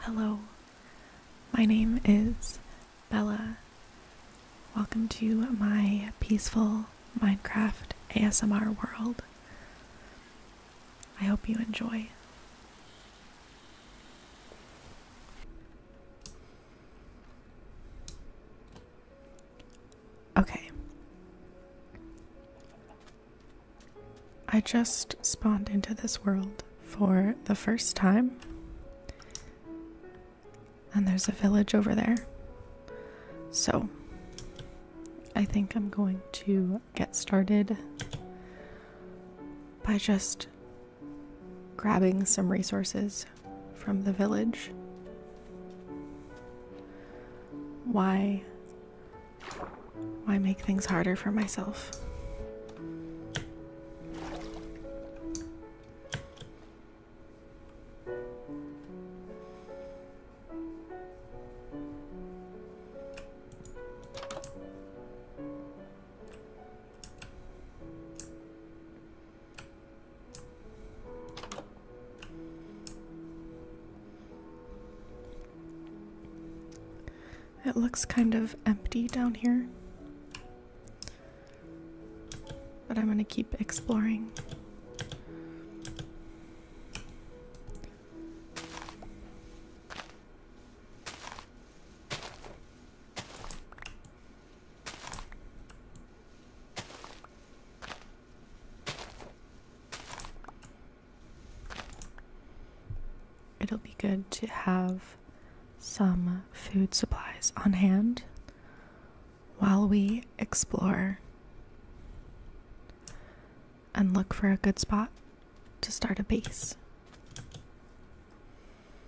Hello, my name is Bella. Welcome to my peaceful Minecraft ASMR world. I hope you enjoy. Okay. I just spawned into this world for the first time. And there's a village over there. So, I think I'm going to get started by just grabbing some resources from the village. Why why make things harder for myself? It looks kind of empty down here, but I'm going to keep exploring. It'll be good to have some food supplies on hand while we explore and look for a good spot to start a base.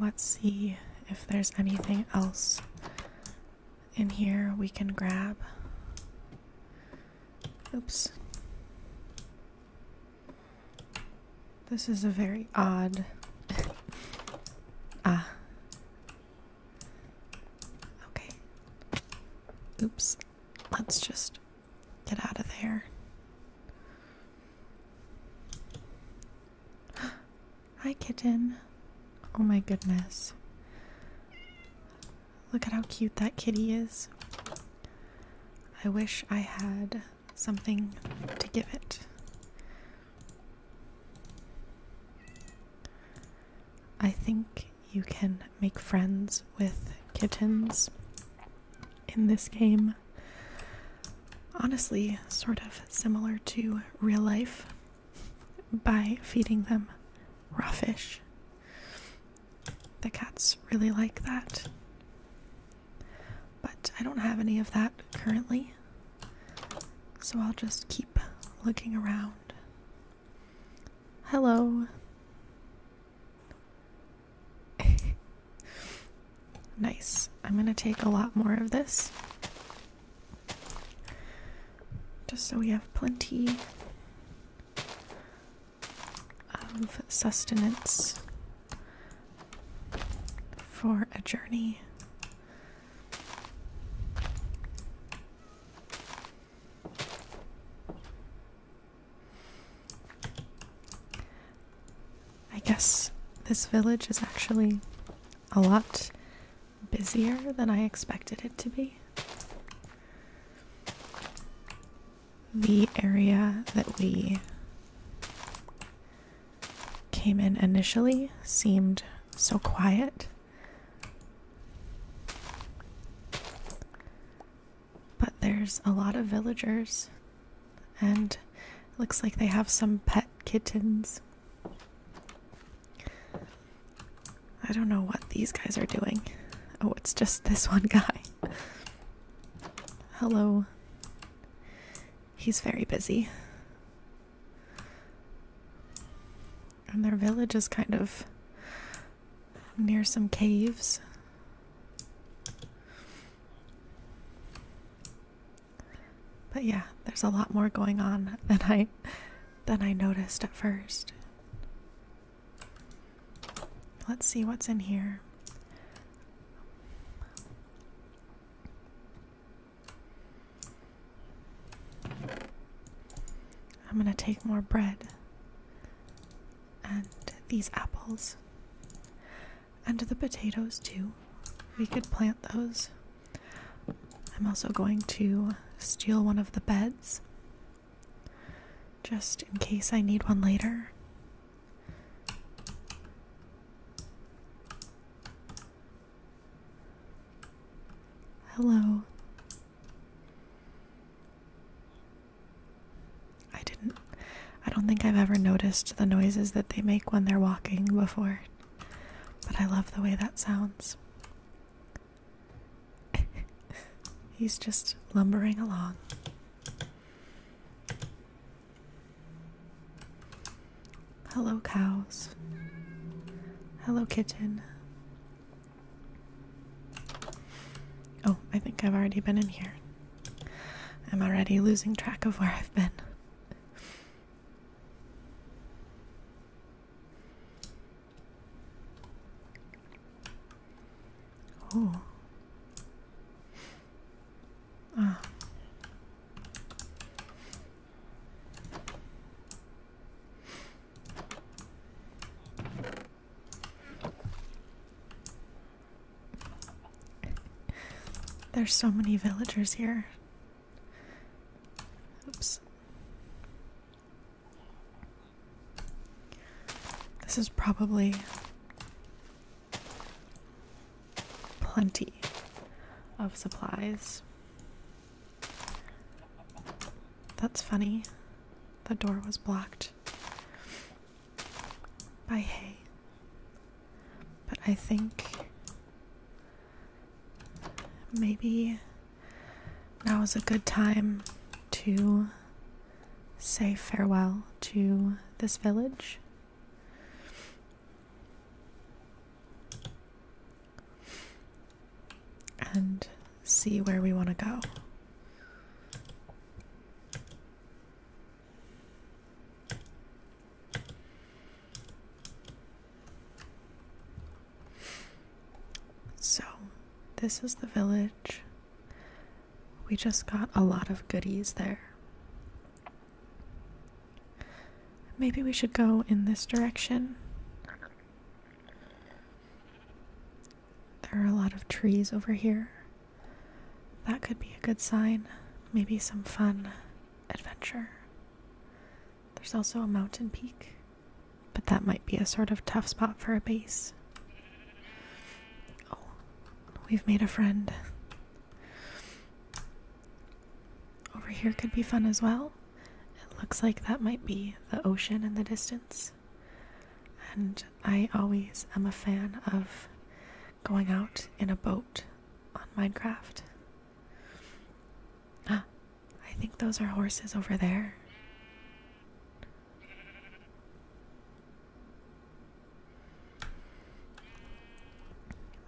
Let's see if there's anything else in here we can grab. Oops. This is a very odd. ah. Okay. Oops. Let's just get out of there. Hi, kitten. Oh my goodness. Look at how cute that kitty is. I wish I had something to give it. I think you can make friends with kittens in this game honestly sort of similar to real life by feeding them raw fish. The cats really like that. But I don't have any of that currently. So I'll just keep looking around. Hello. Nice. I'm going to take a lot more of this. Just so we have plenty of sustenance for a journey. I guess this village is actually a lot busier than I expected it to be. The area that we came in initially seemed so quiet. But there's a lot of villagers, and it looks like they have some pet kittens. I don't know what these guys are doing. Oh, it's just this one guy. Hello. He's very busy. And their village is kind of near some caves. But yeah, there's a lot more going on than I than I noticed at first. Let's see what's in here. I'm going to take more bread and these apples. And the potatoes, too. We could plant those. I'm also going to steal one of the beds just in case I need one later. Hello. I didn't. I don't think I've ever noticed the noises that they make when they're walking before. But I love the way that sounds. He's just lumbering along. Hello, cows. Hello, kitchen. Oh, I think I've already been in here. I'm already losing track of where I've been. Oh. Ah. There's so many villagers here. Oops. This is probably plenty of supplies. That's funny. The door was blocked by hay. But I think maybe now is a good time to say farewell to this village. And see where we want to go. So, this is the village. We just got a lot of goodies there. Maybe we should go in this direction. There are a lot of trees over here. That could be a good sign. Maybe some fun adventure. There's also a mountain peak, but that might be a sort of tough spot for a base. Oh, we've made a friend. Over here could be fun as well. It looks like that might be the ocean in the distance. And I always am a fan of going out in a boat on Minecraft. Ah, I think those are horses over there.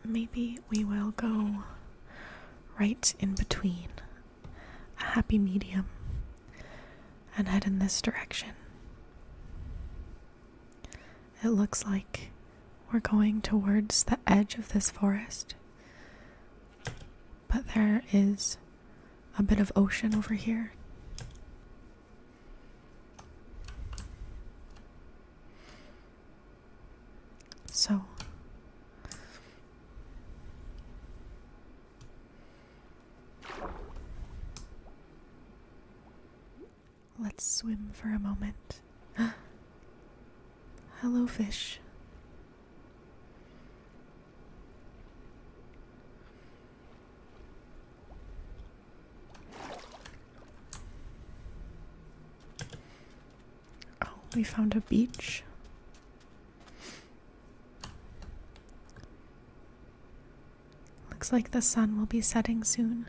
Maybe we will go right in between a happy medium and head in this direction. It looks like we're going towards the edge of this forest. But there is a bit of ocean over here. So Let's swim for a moment. Hello, fish. Oh, we found a beach. Looks like the sun will be setting soon.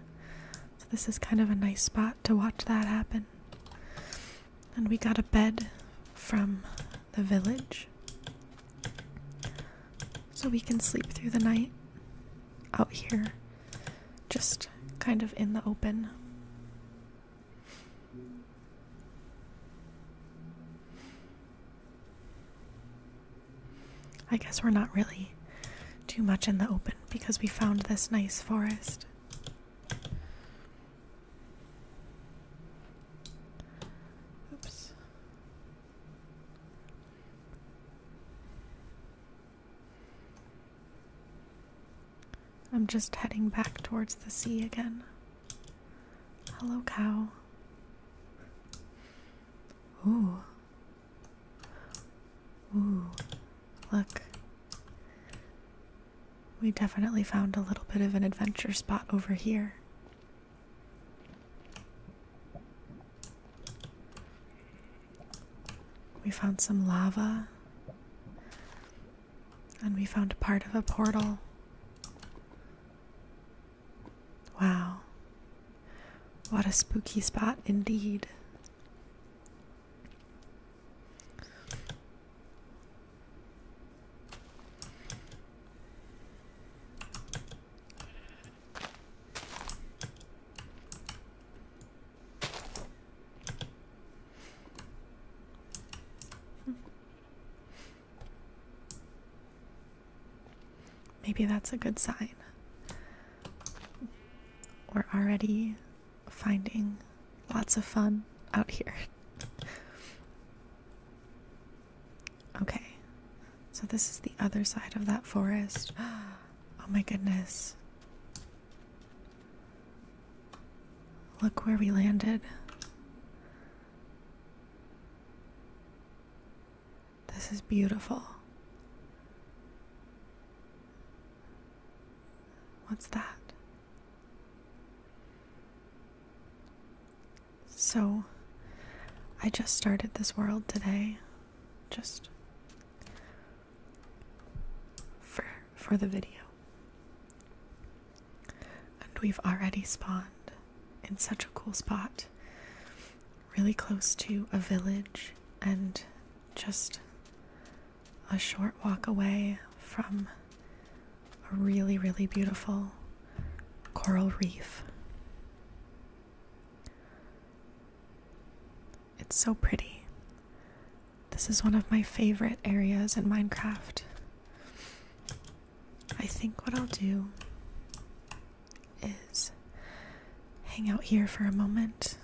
So this is kind of a nice spot to watch that happen. And we got a bed from the village. So we can sleep through the night out here, just kind of in the open. I guess we're not really too much in the open because we found this nice forest. Oops. I'm just heading back towards the sea again. Hello, cow. Ooh, Ooh, look. We definitely found a little bit of an adventure spot over here. We found some lava. And we found part of a portal. Wow. What a spooky spot indeed. Maybe that's a good sign. We're already finding lots of fun out here. okay, so this is the other side of that forest. Oh my goodness. Look where we landed. This is beautiful. What's that? So, I just started this world today. Just for for the video. And we've already spawned in such a cool spot. Really close to a village and just a short walk away from a really, really beautiful coral reef. It's so pretty. This is one of my favorite areas in Minecraft. I think what I'll do is hang out here for a moment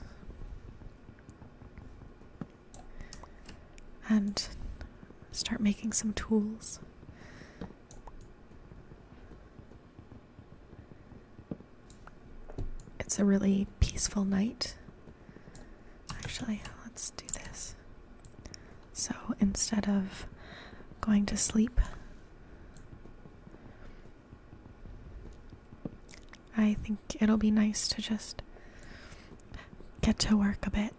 and start making some tools. It's a really peaceful night. Actually, let's do this. So instead of going to sleep, I think it'll be nice to just get to work a bit.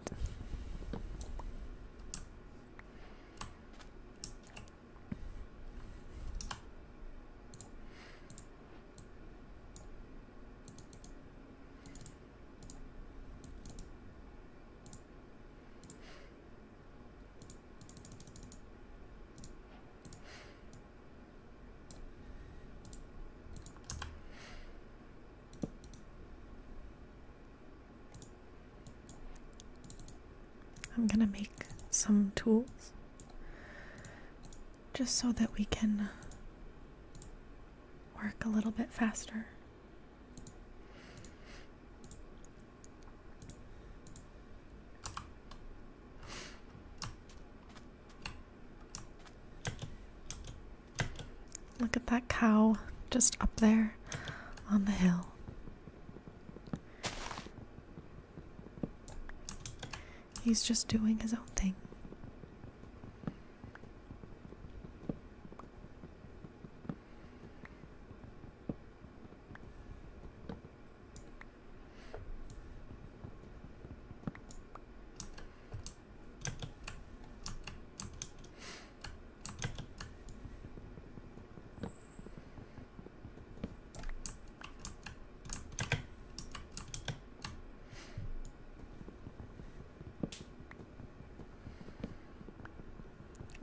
I'm going to make some tools just so that we can work a little bit faster. Look at that cow just up there on the hill. He's just doing his own thing.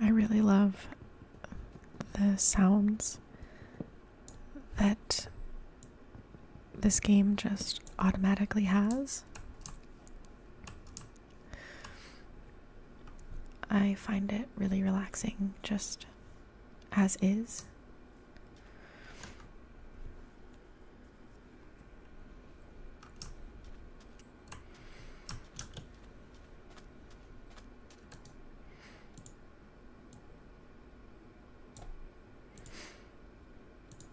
I really love the sounds that this game just automatically has. I find it really relaxing just as is.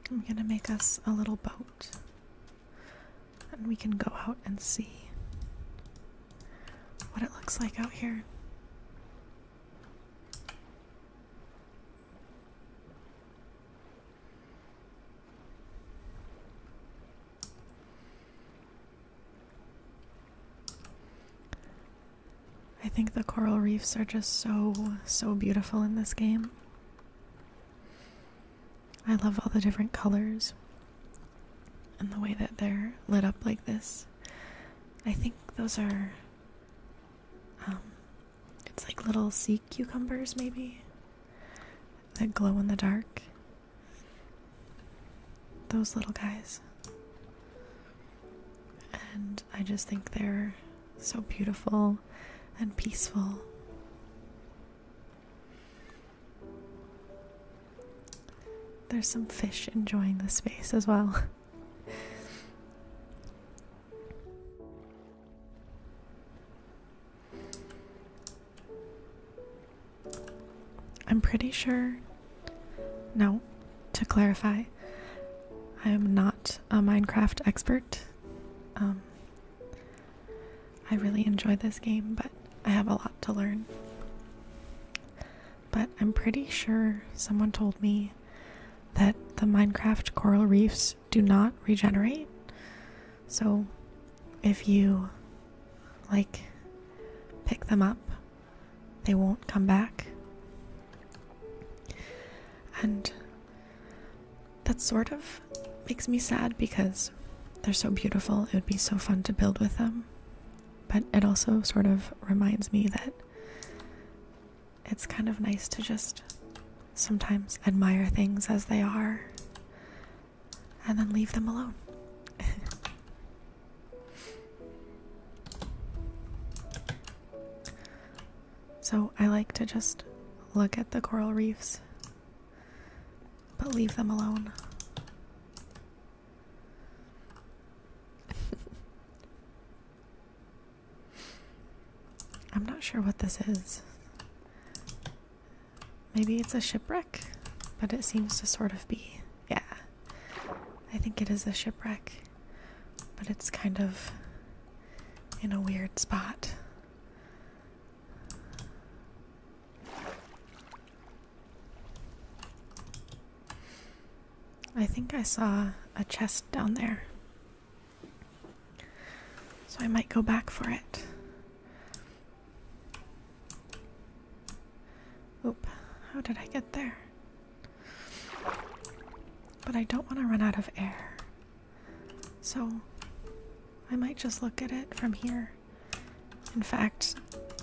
I'm gonna make us a little boat and we can go out and see what it looks like out here. I think the coral reefs are just so, so beautiful in this game. I love all the different colors and the way that they're lit up like this. I think those are, um, it's like little sea cucumbers maybe that glow in the dark those little guys. And I just think they're so beautiful and peaceful. There's some fish enjoying the space as well. I'm pretty sure now, to clarify, I am not a Minecraft expert. Um, I really enjoy this game, but I have a lot to learn. But I'm pretty sure someone told me that the Minecraft coral reefs do not regenerate. So if you like pick them up they won't come back. And that sort of makes me sad because they're so beautiful. It would be so fun to build with them. But it also sort of reminds me that it's kind of nice to just sometimes admire things as they are and then leave them alone. So I like to just look at the coral reefs, but leave them alone. I'm not sure what this is. Maybe it's a shipwreck, but it seems to sort of be. Yeah. I think it is a shipwreck, but it's kind of in a weird spot. I think I saw a chest down there. So I might go back for it. Oop, how did I get there? But I don't want to run out of air. So I might just look at it from here. In fact,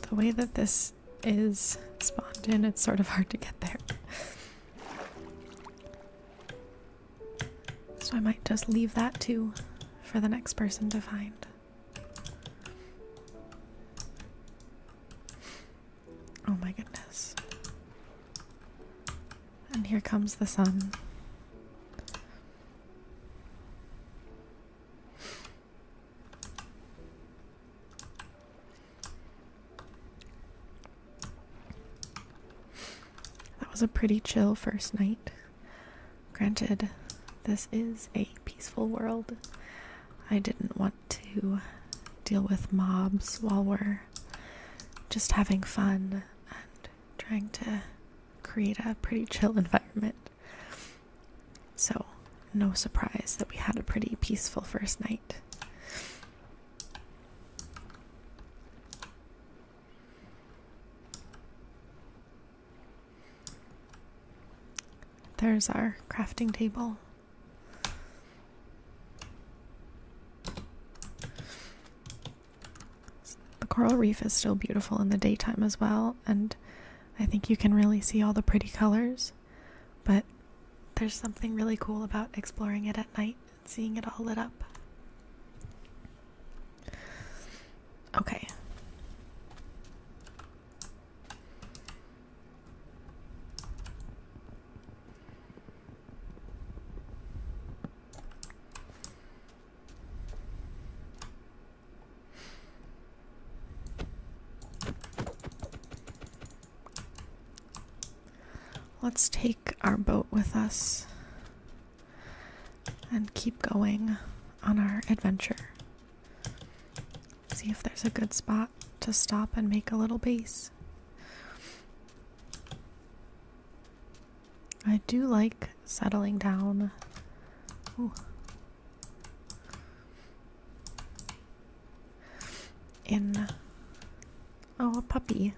the way that this is spawned in, it's sort of hard to get there. so I might just leave that too for the next person to find. Oh my goodness. And here comes the sun. That was a pretty chill first night. Granted, this is a peaceful world. I didn't want to deal with mobs while we're just having fun and trying to create a pretty chill environment. So, no surprise that we had a pretty peaceful first night. There's our crafting table. The coral reef is still beautiful in the daytime as well, and I think you can really see all the pretty colors, but there's something really cool about exploring it at night and seeing it all lit up. Okay. Let's take our boat with us and keep going on our adventure. See if there's a good spot to stop and make a little base. I do like settling down. In oh, a puppy,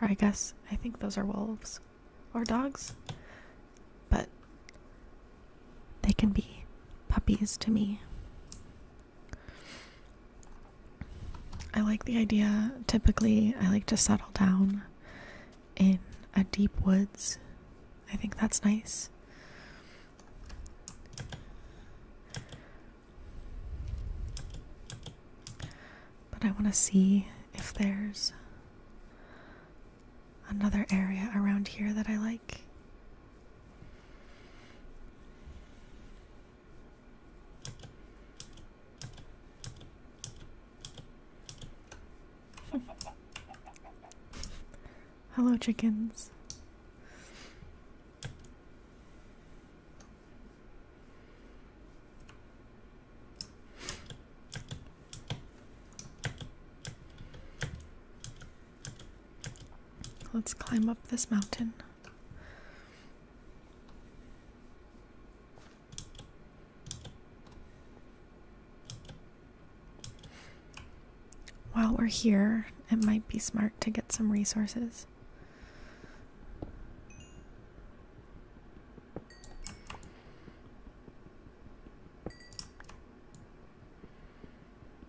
or I guess I think those are wolves or dogs, but they can be puppies to me. I like the idea. Typically, I like to settle down in a deep woods. I think that's nice. But I want to see if there's another area around here that I like. Hello, chickens. Let's climb up this mountain. While we're here, it might be smart to get some resources.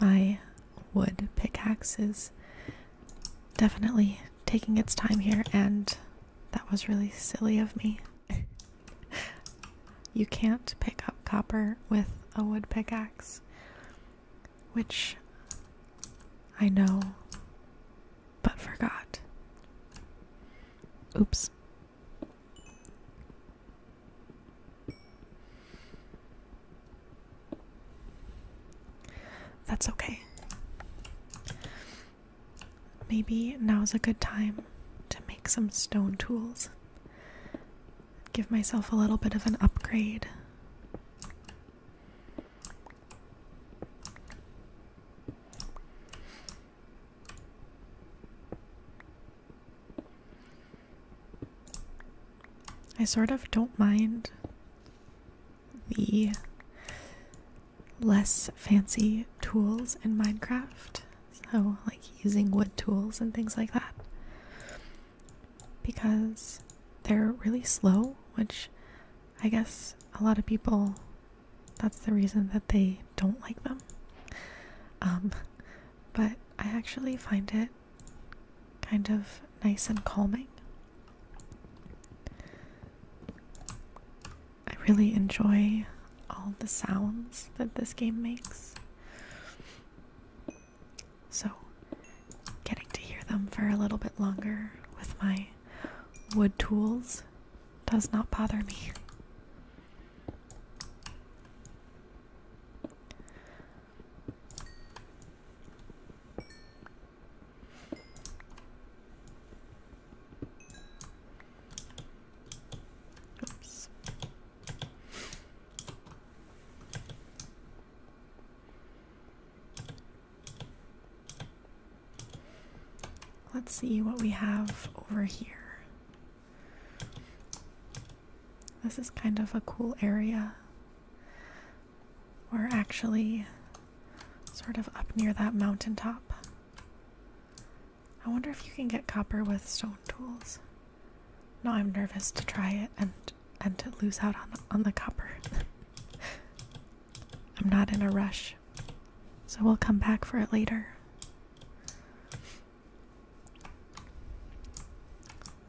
My wood pickaxe is definitely taking its time here, and that was really silly of me. you can't pick up copper with a wood pickaxe which I know but forgot. Oops. That's okay. Maybe now's a good time to make some stone tools. Give myself a little bit of an upgrade. I sort of don't mind the less fancy tools in Minecraft, so like using wood tools and things like that, because they're really slow, which I guess a lot of people that's the reason that they don't like them. Um, but I actually find it kind of nice and calming. I really enjoy all the sounds that this game makes so getting to hear them for a little bit longer with my wood tools does not bother me. Oops. Let's see what we have over here. This is kind of a cool area. We're actually sort of up near that mountaintop. I wonder if you can get copper with stone tools. No, I'm nervous to try it and and to lose out on the, on the copper. I'm not in a rush, so we'll come back for it later.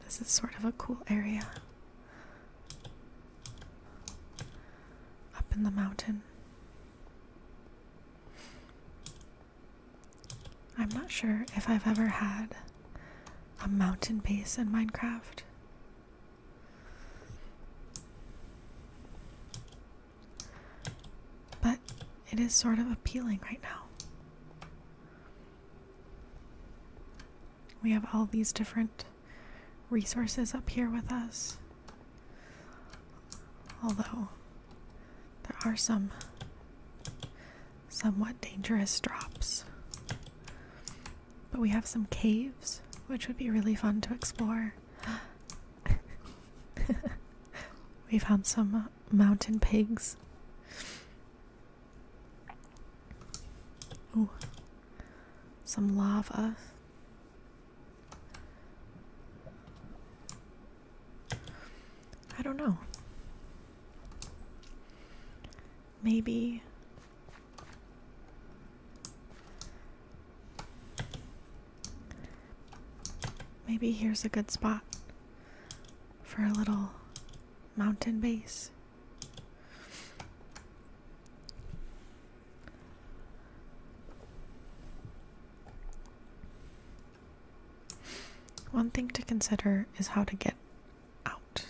This is sort of a cool area up in the mountain. I'm not sure if I've ever had a mountain base in Minecraft. But it is sort of appealing right now. We have all these different resources up here with us. Although there are some somewhat dangerous drops. But we have some caves, which would be really fun to explore. we found some uh, mountain pigs. Ooh. Some lava. I don't know. Maybe Maybe here's a good spot for a little mountain base. One thing to consider is how to get out.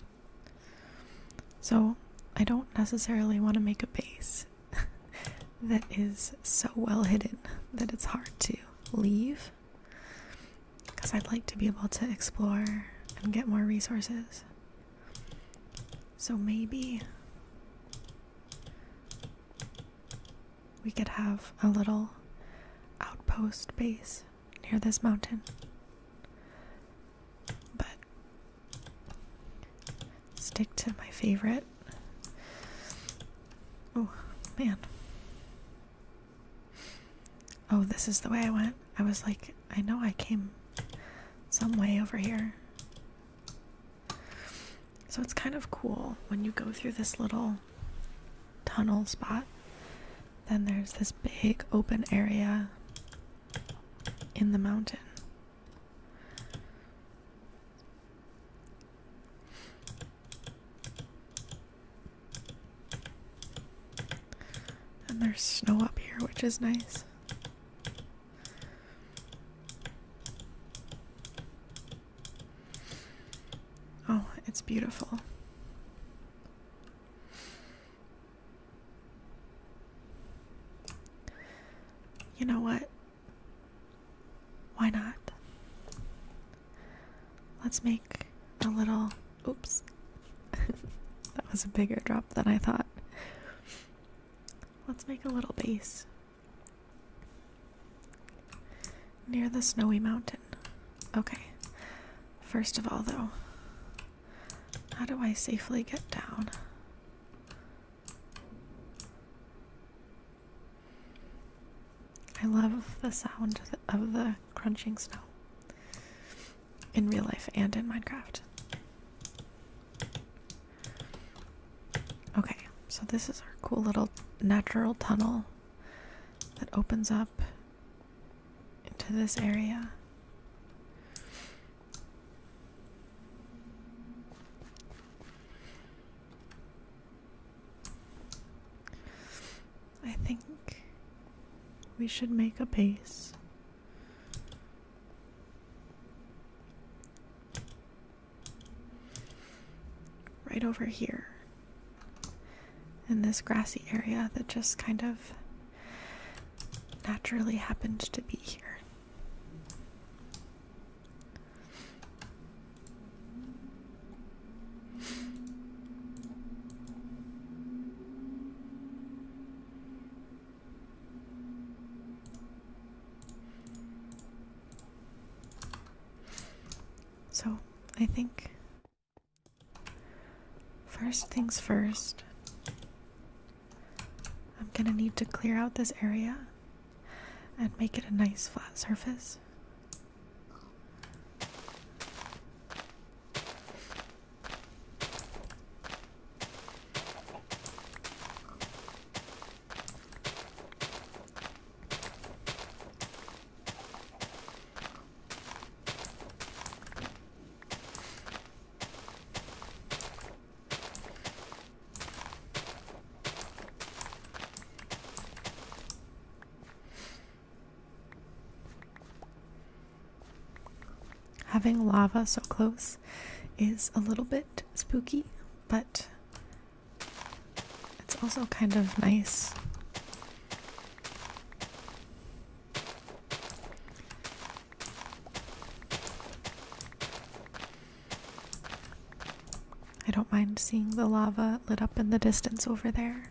So I don't necessarily want to make a base that is so well hidden that it's hard to leave because I'd like to be able to explore and get more resources. So maybe we could have a little outpost base near this mountain but stick to my favorite. Oh, man. Oh, this is the way I went. I was like, I know I came some way over here. So it's kind of cool when you go through this little tunnel spot. Then there's this big open area in the mountain. And there's snow up here, which is nice. Oh, it's beautiful. You know what? Why not? Let's make a little. Oops. that was a bigger drop than I thought. Let's make a little base near the snowy mountain. Okay. First of all, though, how do I safely get down? I love the sound of the crunching snow in real life and in Minecraft. Okay, so this is our cool little natural tunnel that opens up into this area. I think we should make a base. Right over here in this grassy area that just kind of naturally happened to be here. So, I think First things first, I'm gonna need to clear out this area and make it a nice flat surface. Having lava so close is a little bit spooky, but it's also kind of nice. I don't mind seeing the lava lit up in the distance over there.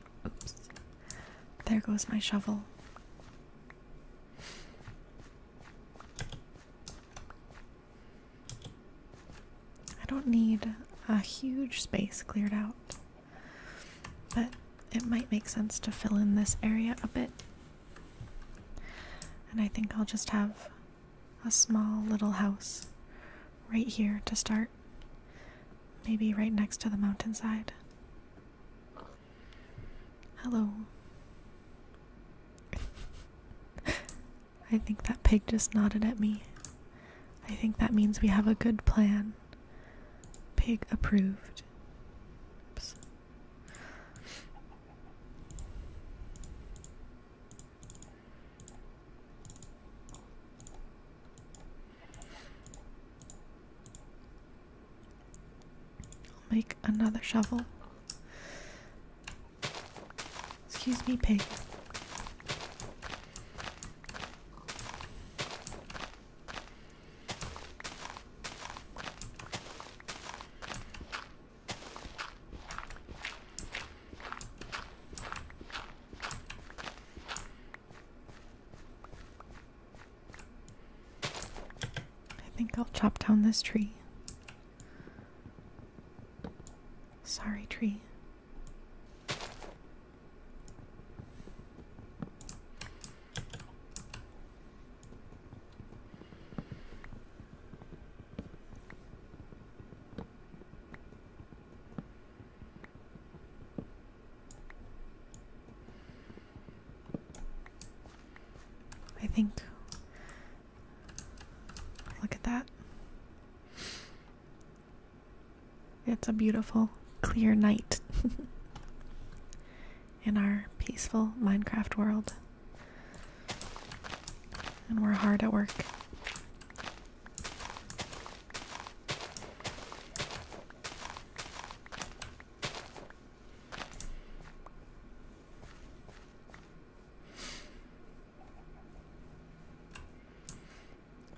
Oops. There goes my shovel. I don't need a huge space cleared out, but it might make sense to fill in this area a bit. And I think I'll just have a small little house right here to start. Maybe right next to the mountainside. Hello. I think that pig just nodded at me. I think that means we have a good plan. Pig approved. I'll make another shovel. Excuse me, pig. I think I'll chop down this tree. Sorry, tree. I think. Look at that. It's a beautiful, clear night in our peaceful Minecraft world. And we're hard at work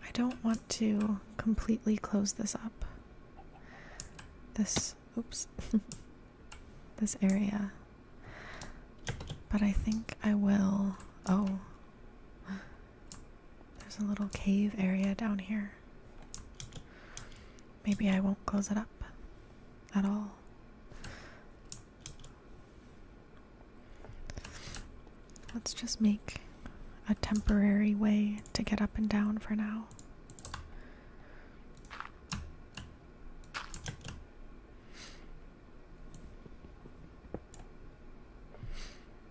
I don't want to completely close this up. This, oops, this area. But I think I will. Oh, there's a little cave area down here. Maybe I won't close it up at all. Let's just make a temporary way to get up and down for now.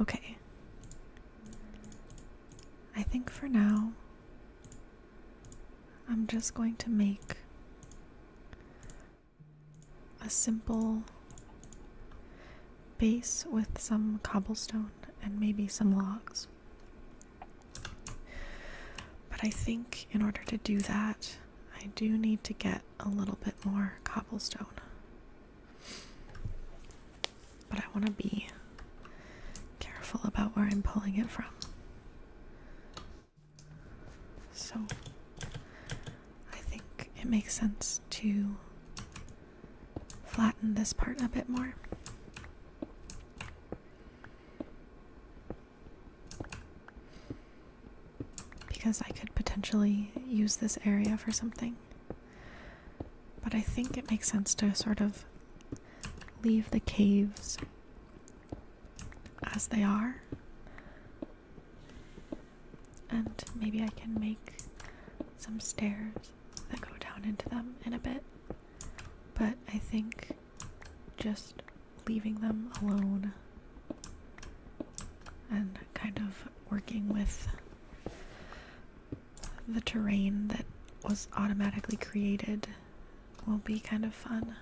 Okay. I think for now, I'm just going to make a simple base with some cobblestone and maybe some logs. But I think in order to do that, I do need to get a little bit more cobblestone. But I want to be careful about where I'm pulling it from. So I think it makes sense to flatten this part a bit more. Because I could potentially use this area for something. But I think it makes sense to sort of leave the caves as they are. And maybe I can make some stairs that go down into them in a bit. But I think just leaving them alone and kind of working with the terrain that was automatically created will be kind of fun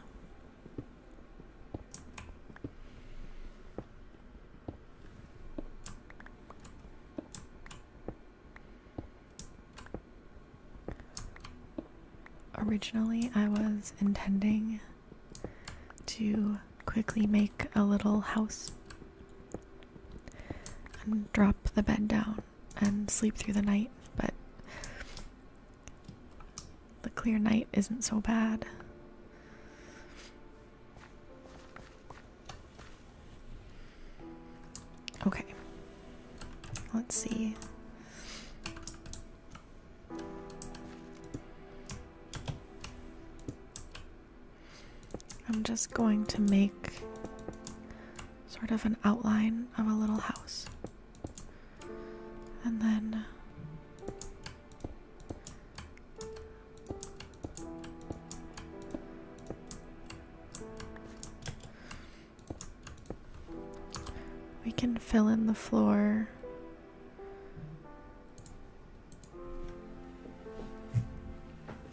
originally I was intending to quickly make a little house and drop the bed down and sleep through the night, but the clear night isn't so bad. Okay. Let's see. I'm just going to make sort of an outline of a little house. And then we can fill in the floor.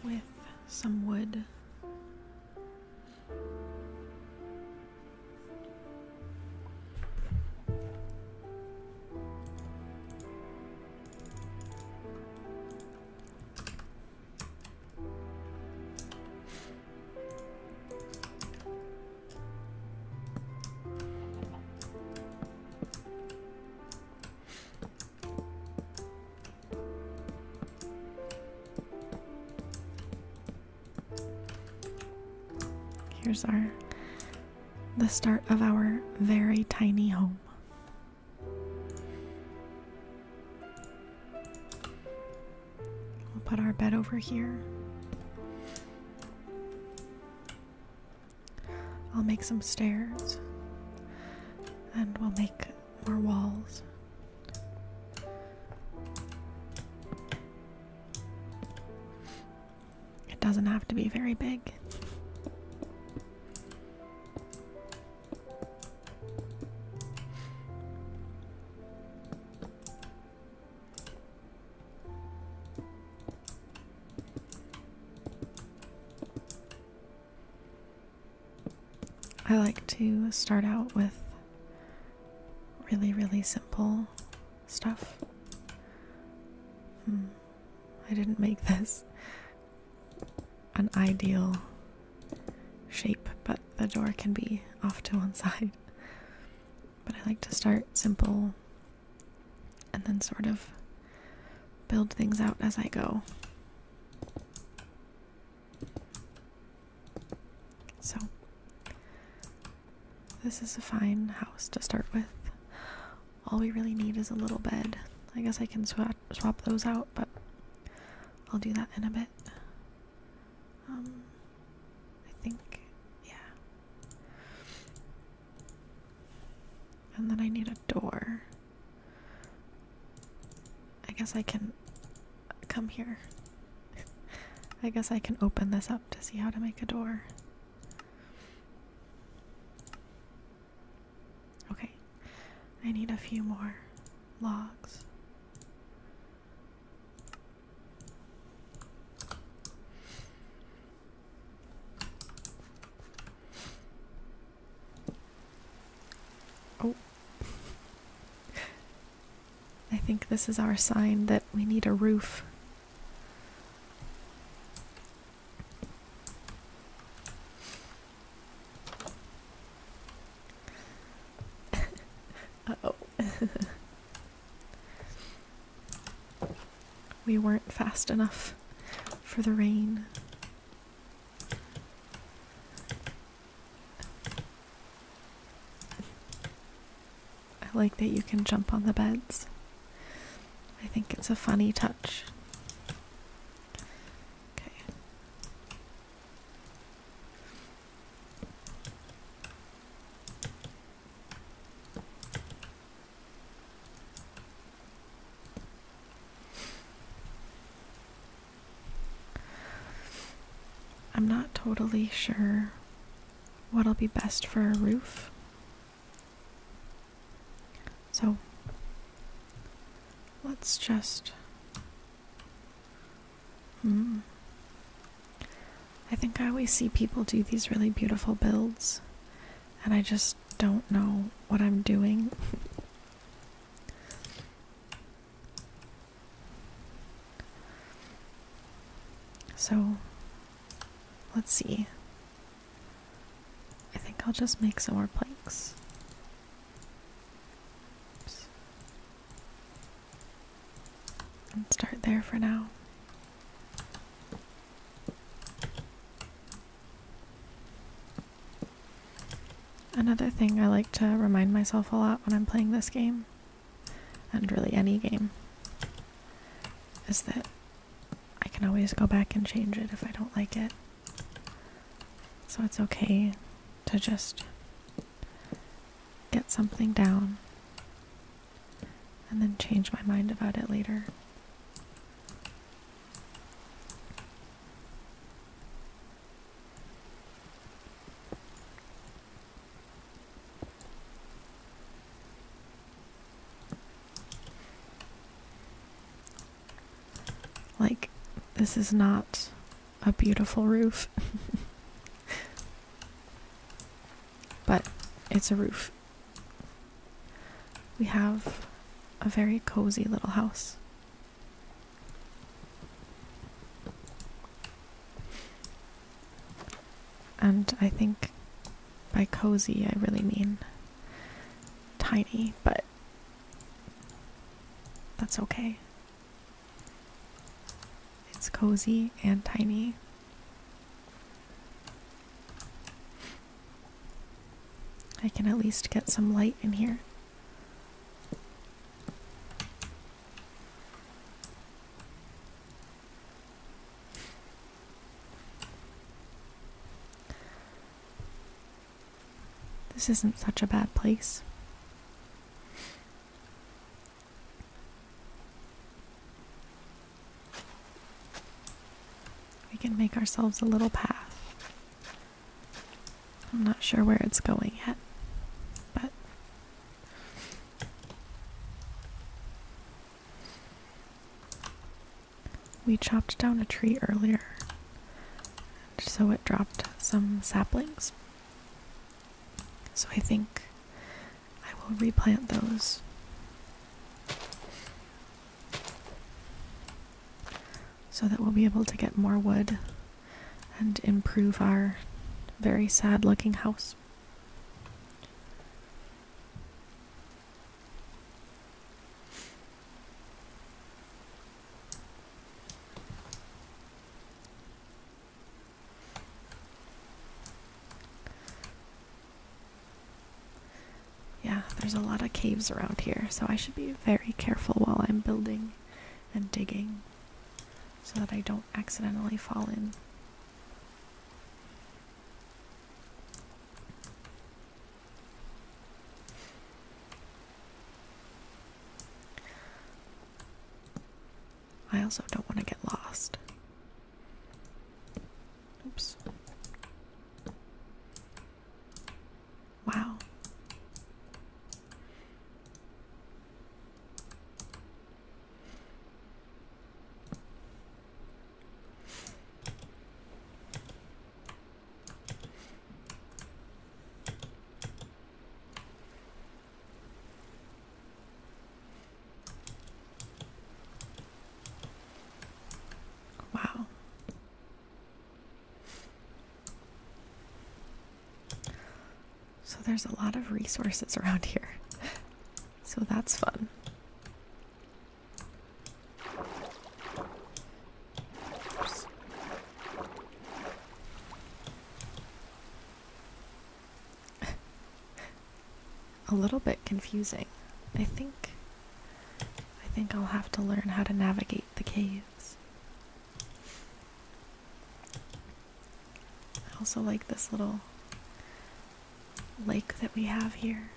With some wood. Here's our the start of our very tiny home. We'll put our bed over here. I'll make some stairs and we'll make more walls. It doesn't have to be very big. I like to start out with really, really simple stuff. Hmm. I didn't make this an ideal shape, but the door can be off to one side. But I like to start simple and then sort of build things out as I go. So, this is a fine house to start with. All we really need is a little bed. I guess I can swap, swap those out, but I'll do that in a bit. Um, I think, yeah. And then I need a door. I guess I can come here. I guess I can open this up to see how to make a door. Okay, I need a few more logs. Oh. I think this is our sign that we need a roof. oh. we weren't fast enough for the rain. I like that you can jump on the beds. I think it's a funny touch. Okay. I'm not totally sure what'll be best for a roof. So let's just Mm. I think I always see people do these really beautiful builds, and I just don't know what I'm doing. so, let's see. I think I'll just make some more planks and start there for now. Another thing I like to remind myself a lot when I'm playing this game, and really any game, is that I can always go back and change it if I don't like it. So it's okay to just get something down and then change my mind about it later. Like, this is not a beautiful roof. But it's a roof. We have a very cozy little house. And I think by cozy, I really mean tiny, but that's okay. It's cozy and tiny. I can at least get some light in here. This isn't such a bad place. We can make ourselves a little path. I'm not sure where it's going yet, but we chopped down a tree earlier, so it dropped some saplings. So I think I will replant those. So that we'll be able to get more wood and improve our very sad looking house. Yeah, there's a lot of caves around here, so I should be very careful while I'm building and digging so that I don't accidentally fall in. I also don't want to get lost. Oops. Wow. Wow. So there's a lot of resources around here. So that's fun. a little bit confusing. I think I think I'll have to learn how to navigate the caves. I also like this little lake that we have here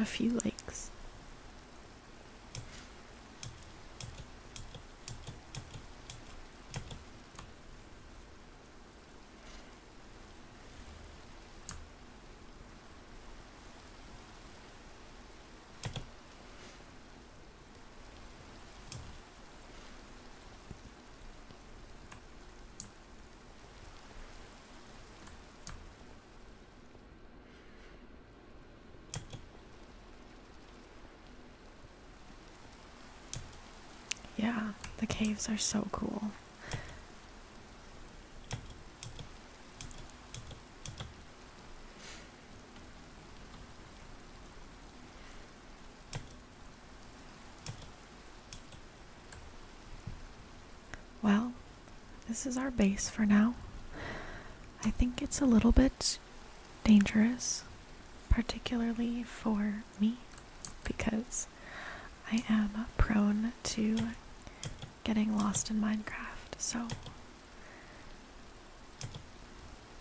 a few likes. Yeah, the caves are so cool. Well, this is our base for now. I think it's a little bit dangerous, particularly for me, because I am prone to getting lost in Minecraft, so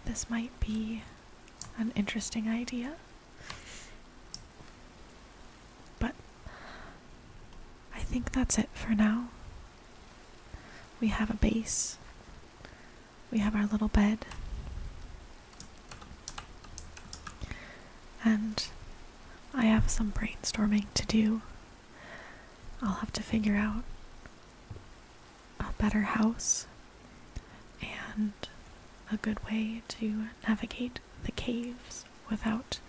this might be an interesting idea. But I think that's it for now. We have a base, we have our little bed, and I have some brainstorming to do. I'll have to figure out a better house and a good way to navigate the caves without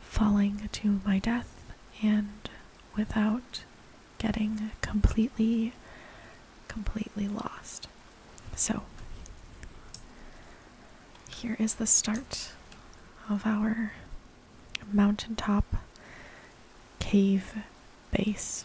falling to my death and without getting completely, completely lost. So, here is the start of our mountaintop cave base.